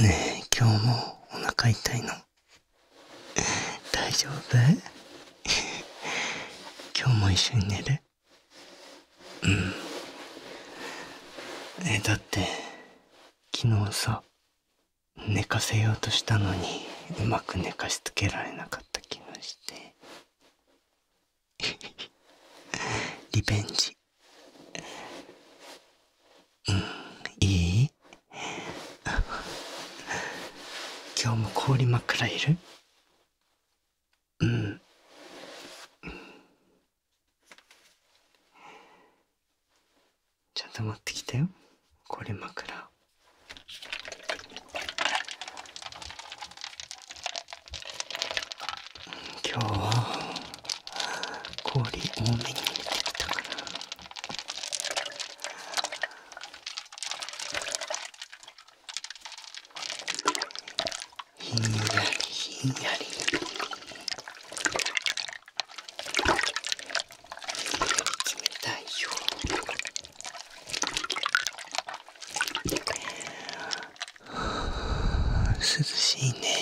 ねえ今日もお腹痛いの大丈夫今日も一緒に寝るうんえだって昨日さ寝かせようとしたのにうまく寝かしつけられなかった気がして リベンジ。うん、いい 今日も氷枕いるうん。ちゃんと持ってきたよ。氷枕。今日は氷多めに入れたかなひんやりひんやり冷たいよ涼しいね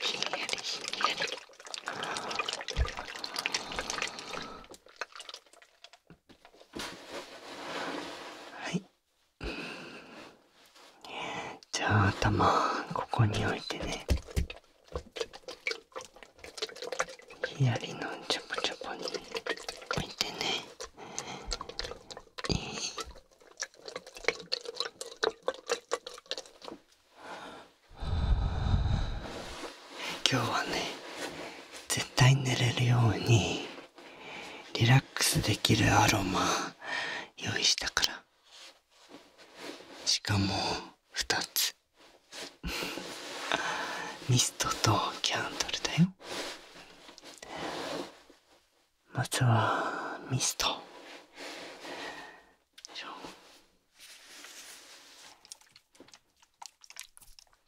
ひんやりひんやりはいじゃあ頭ここに置いてねひやりのちょこちょこに置いてねいい今日はね絶対寝れるようにリラックスできるアロマ用意したからしかも2つミストとキャンドルだよまずはミスト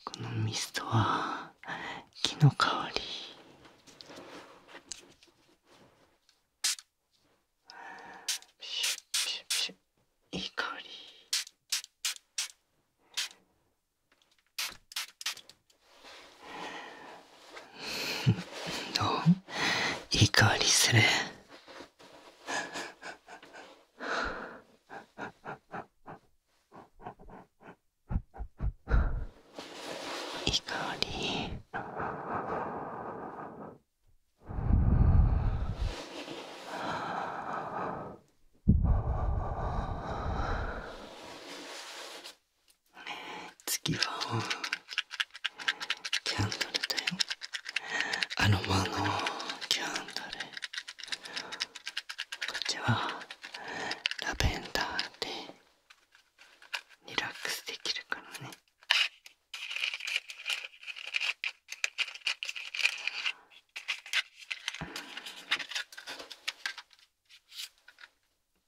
このミストは木の香りいい香りどういい香りする。いい香り。次はキャンドルだよアロマのキャンドルこっちはラベンダーでリラックスできるからね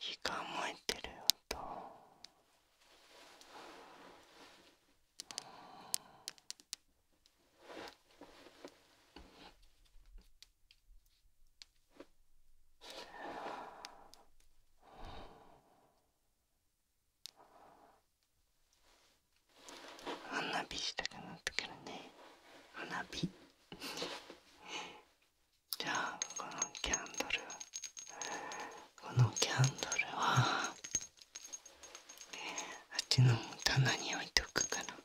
火が燃えてる音花火したくなったからね花火 じゃあこのキャンドルこのキャンドルはあっちの棚に置いとくから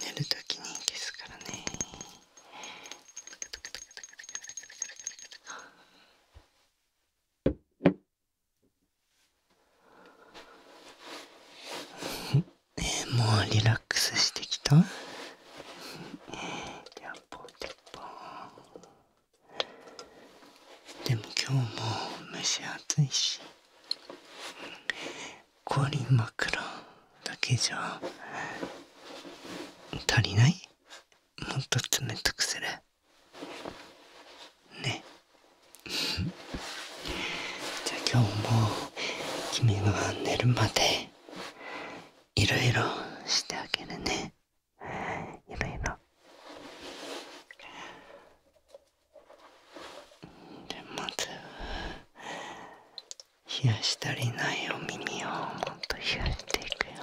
寝るときに消すからね もうリラックスしてきたでも今日も蒸し暑いし氷枕だけじゃ足りないもっと冷たくするね じゃあ今日も君が寝るまでいろいろしてあげるねいろいろじゃまず冷やしたりないお耳をもっと冷やしていくよ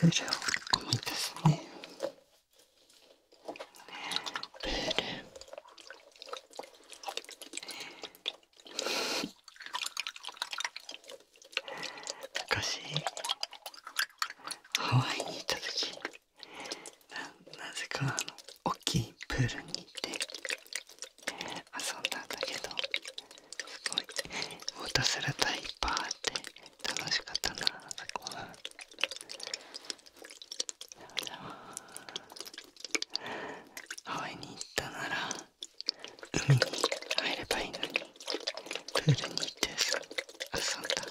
ペレごみですねねペレね昔ハワイに行った時ななぜかあのプールに行って遊んだんだけどすごいウォータースラタパーって楽しかったなあそこは。ハワイに行ったなら海に入ればいいのにプールに行って遊んだ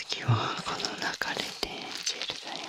次はこの流れでジェルだよ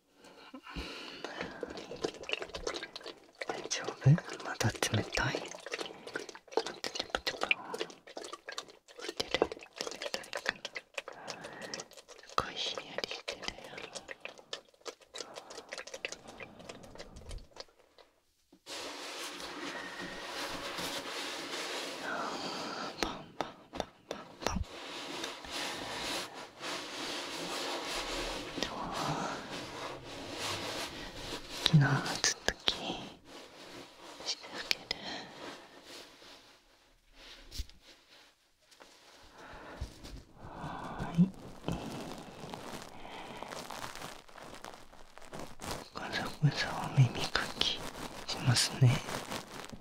大丈夫まだ冷たい待んパンパンでも昨日ずっと気にし続けるはいガサガサお耳かきしますね。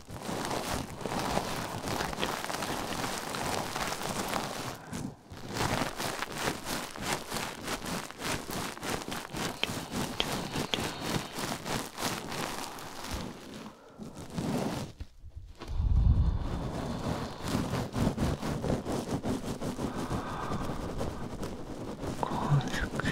高速で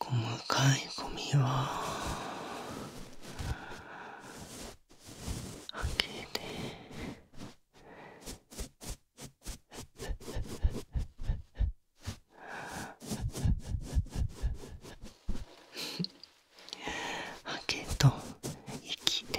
細かいゴミは開けて開けと息で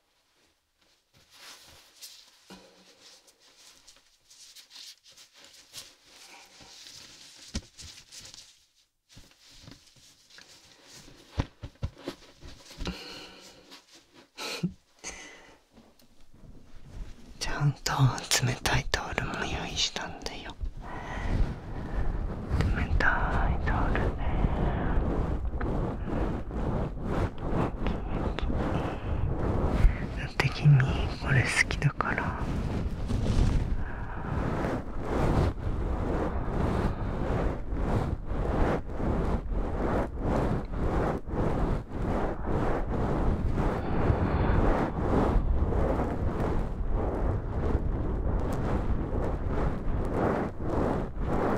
ちゃんと冷たいタオルも用意したんだよ。冷たいタオルでだって君これ好きだから。「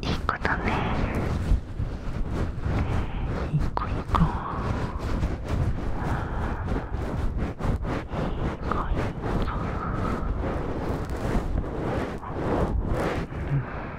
いい子だねいい子いい子いい子いい子うん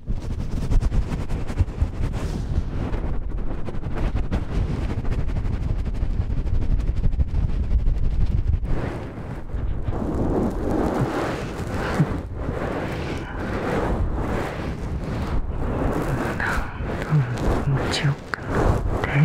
ちよくなって気持ちよくなって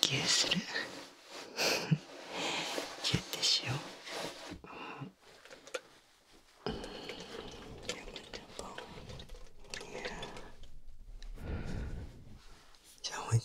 ぎゅうするぎゅってしよう。じゃあおいで。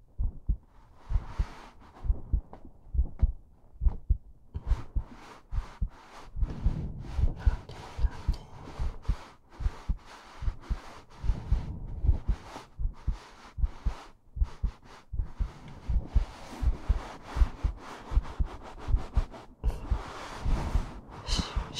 しし。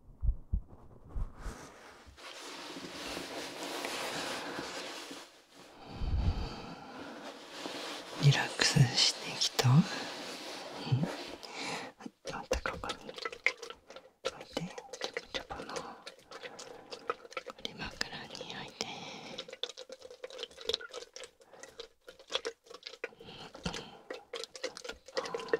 リラックスしてきた、うん、またここに置いてちょこちょこの折枕に置いて、うん、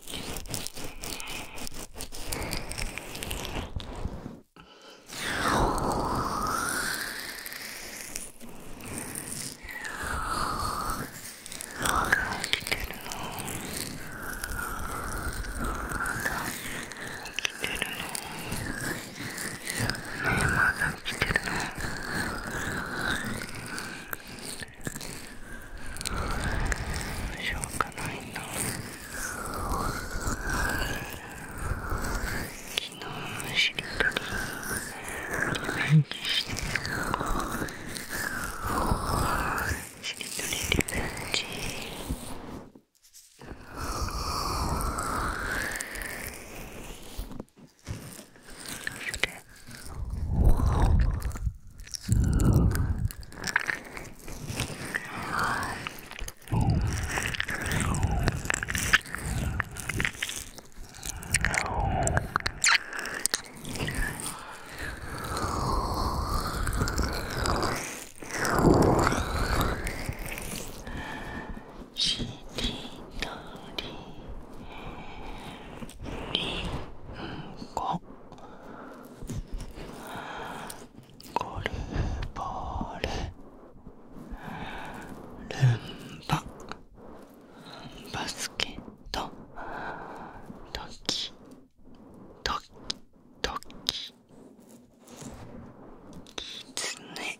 ねえまだ来てるのしょうがないな昨日のりとりリベンしてしりとりリベンジしりとりりんごゴルフボールルンババスケットドキドキトキキツネ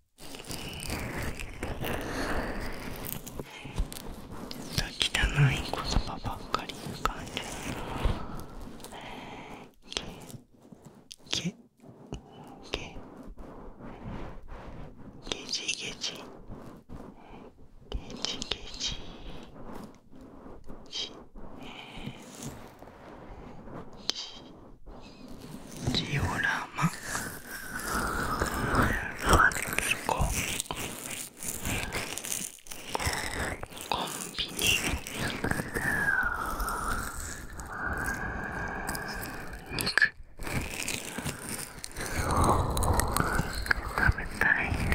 っ汚い言葉ばっかり浮かんでるけけけゲジゲジゲジゲジえ。しジオラマそコンビニ食べたいね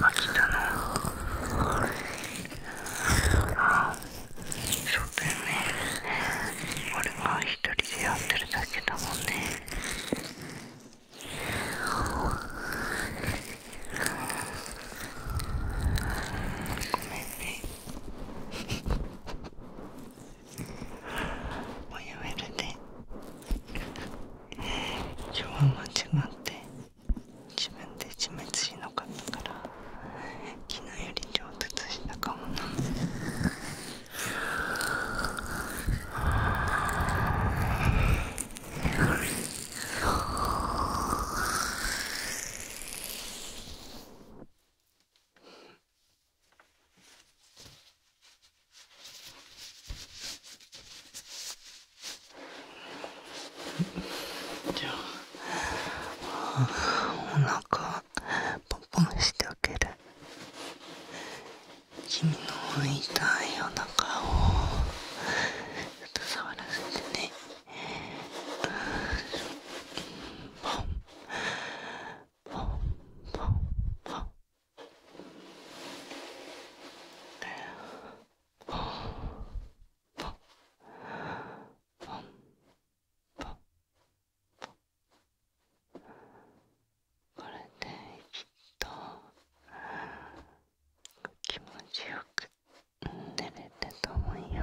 飽きたなあそうだよね俺は一人でやってるだけだもんねごめんねもうやめるね今日は間違って自分で自滅しなかったから昨日より上達したかもなん。じゃあお腹ポンポンしてあげる君の痛いお腹をちょっと触らせてねポンポンポンポンポンポンポンポンこれできっと気持ちよく寝れたと思うよ。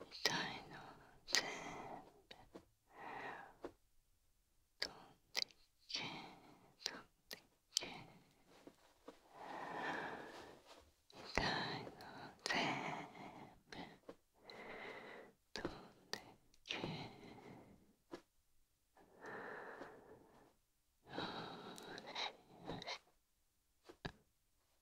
みたいな全部飛んでけ飛んでけみたいな全部飛んでけよしよし。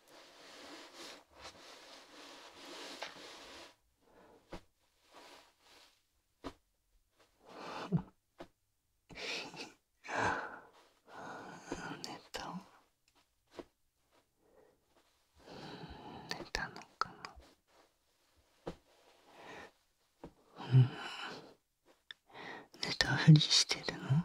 寝た寝たのかなうん寝たふりしてるの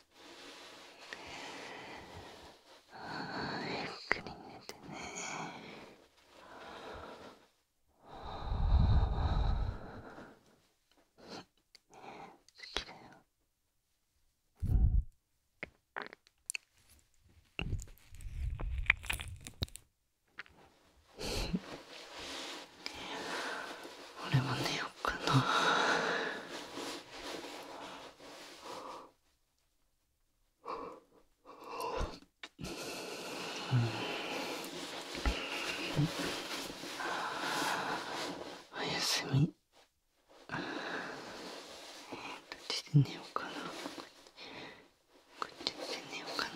ゆっくり寝てね好きだよ俺もねようかなおやすみどっちで寝ようかなこっちで寝ようかな